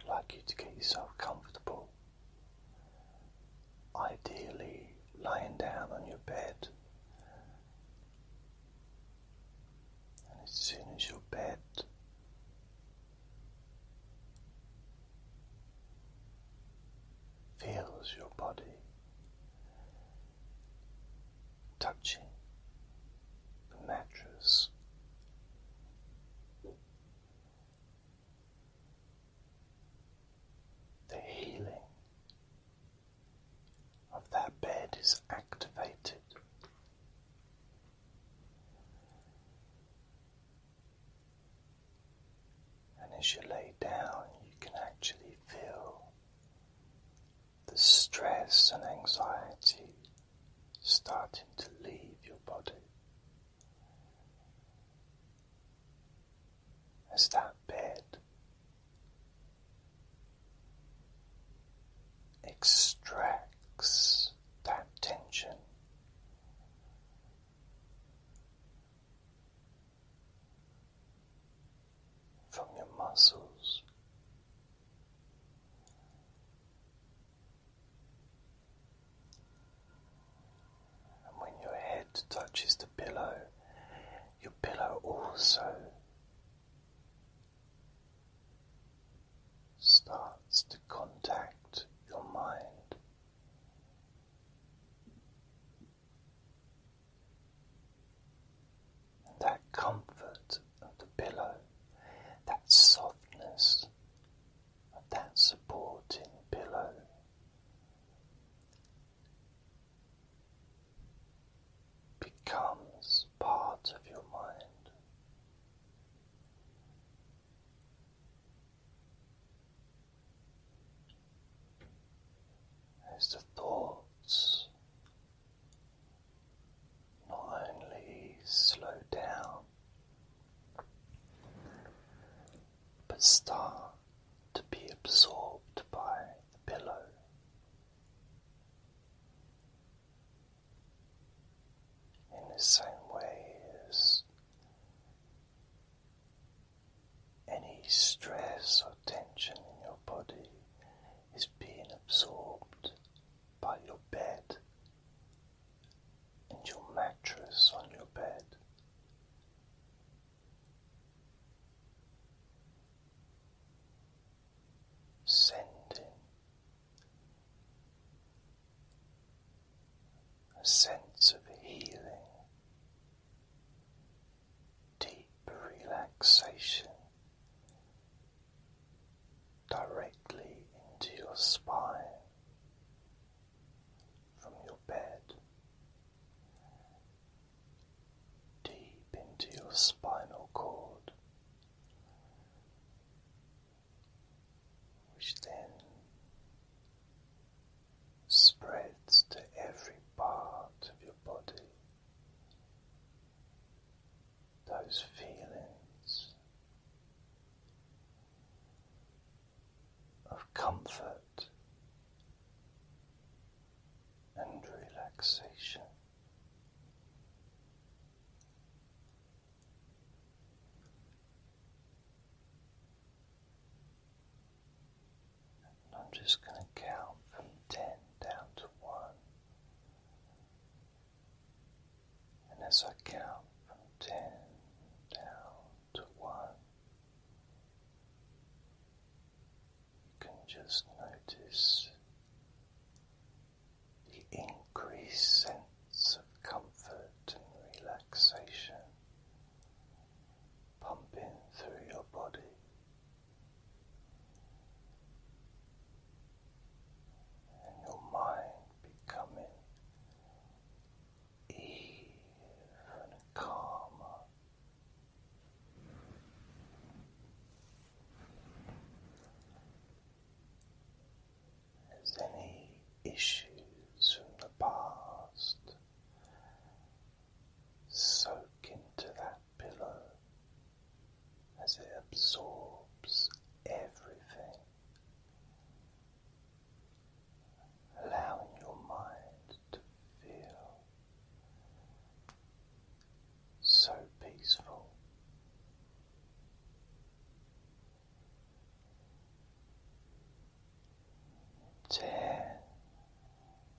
I'd like you to get yourself comfortable, ideally lying down on your bed. And as soon as your bed feels your body, touching the mattress. The healing of that bed is activated. And as you lay down, you can actually feel the stress and anxiety starting to leave your body as that bed extracts that tension from your muscles. And when your head touches the pillow, your pillow also starts to contact your mind that comfort of the pillow, that softness of that supporting pillow. Becomes part of your mind as the thoughts not only slow down but start to be absorbed by the pillow. In the same way as any stress or tension in your body is being absorbed by your bed and your mattress on your bed. Sending a sense of healing deep relaxation directly into your spine from your bed, deep into your spinal cord, which then spreads to every part of your body. Those feelings of comfort and relaxation. And I'm just going to count from ten down to one. And as I count from ten down to one, you can just notice the increased sense of comfort and relaxation pumping through your body. And your mind becoming even calmer. As any issues from the past soak into that pillow as it absorbs everything, allowing your mind to feel so peaceful. Ten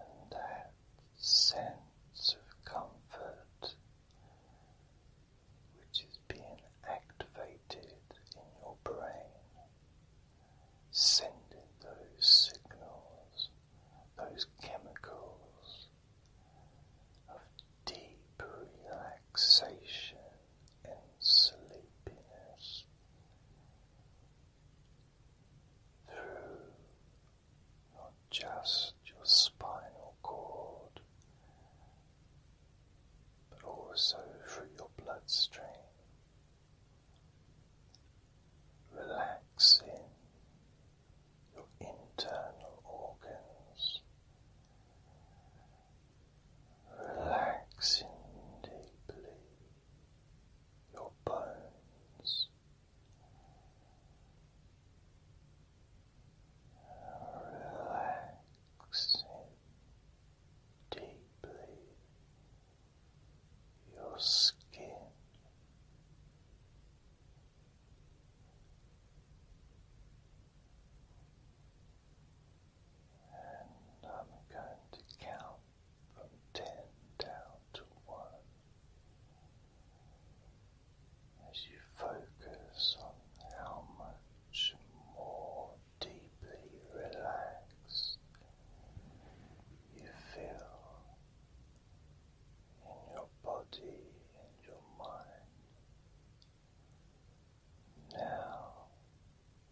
and that sense of comfort which is being activated in your brain, sending those signals, those chemicals of deep relaxation and sleepiness through not just your spinal cord, but also through your bloodstream, relaxing your internal organs, relaxing deeply your bones relaxing deeply your skin. And I'm going to count from ten down to one as you focus on how much more deeply relaxed you feel in your body and your mind. Now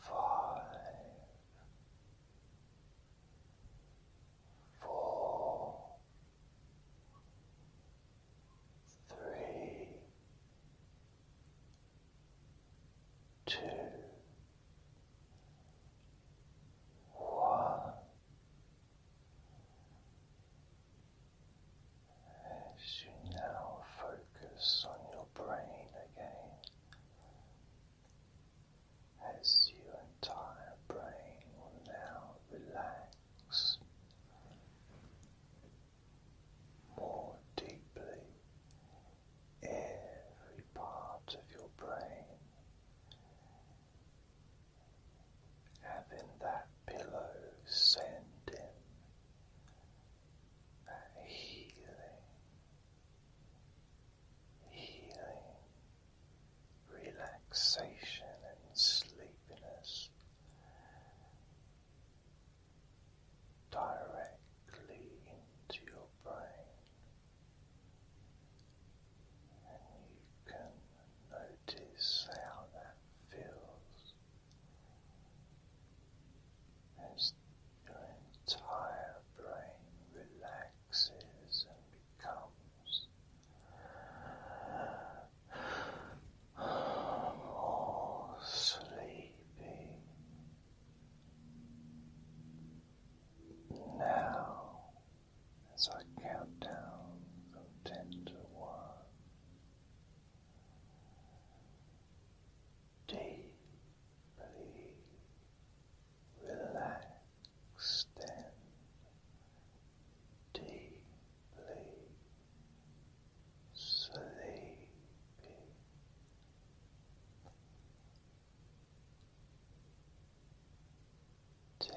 five, four, three, two, one. As you now focus focus on your brain again as your entire brain will now relax more deeply every part of your brain. Having that pillow sent in that healing, healing, relaxation, and sleepiness directly into your brain, and you can notice how that feels as your entire brain relaxes and becomes more sleepy. Now, as I count down from ten to one deeply relaxed and deeply sleepy. Ten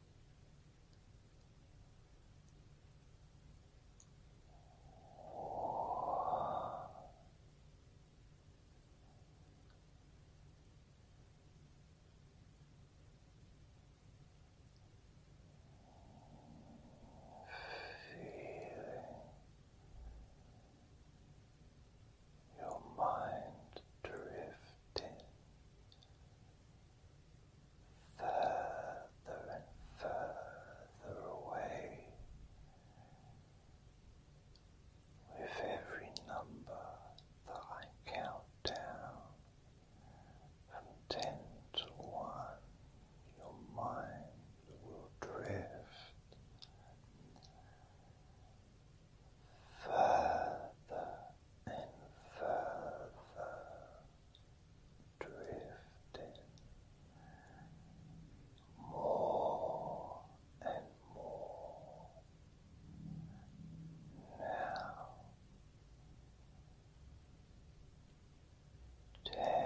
Feeling your mind drifting further and further away with every number that I count down from ten to one, your mind will drift further and further drifting more and more now. Ten,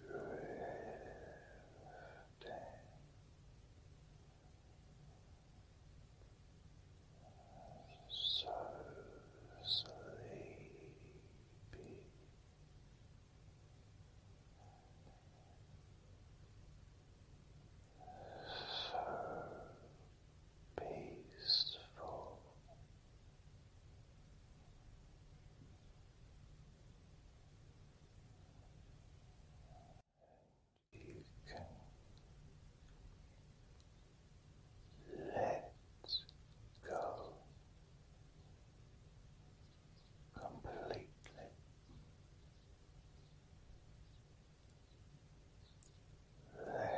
Drifting. So sleepy. So peaceful. And you can let go completely. Let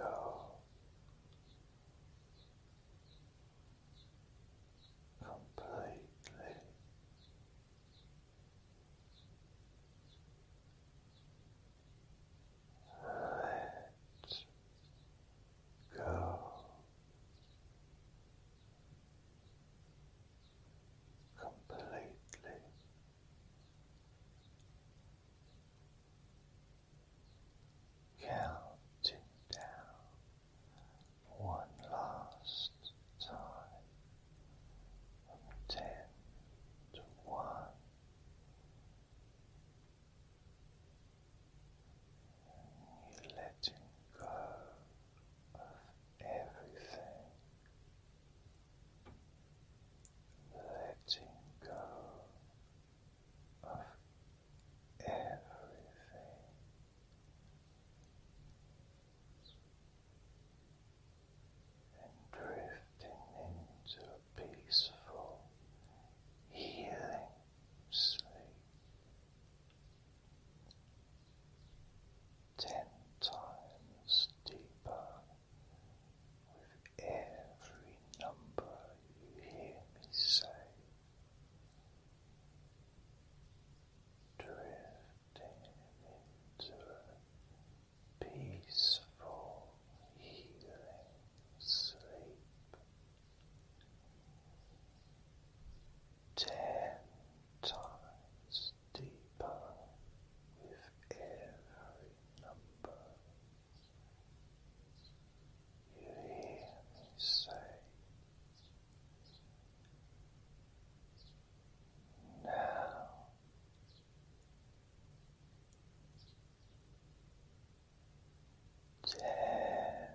go completely. Let go completely counting down one last time from ten to one. And you letting go of everything, letting go of everything. And drifting into peaceful, healing sleep ten times deeper with every number hear me say drifting into peaceful healing sleep ten times deeper with every number you hear me say, now. Ten,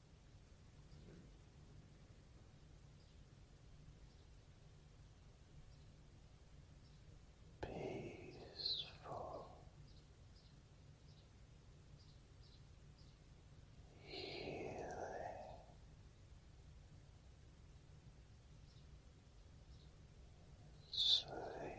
Peaceful healing. Sleep.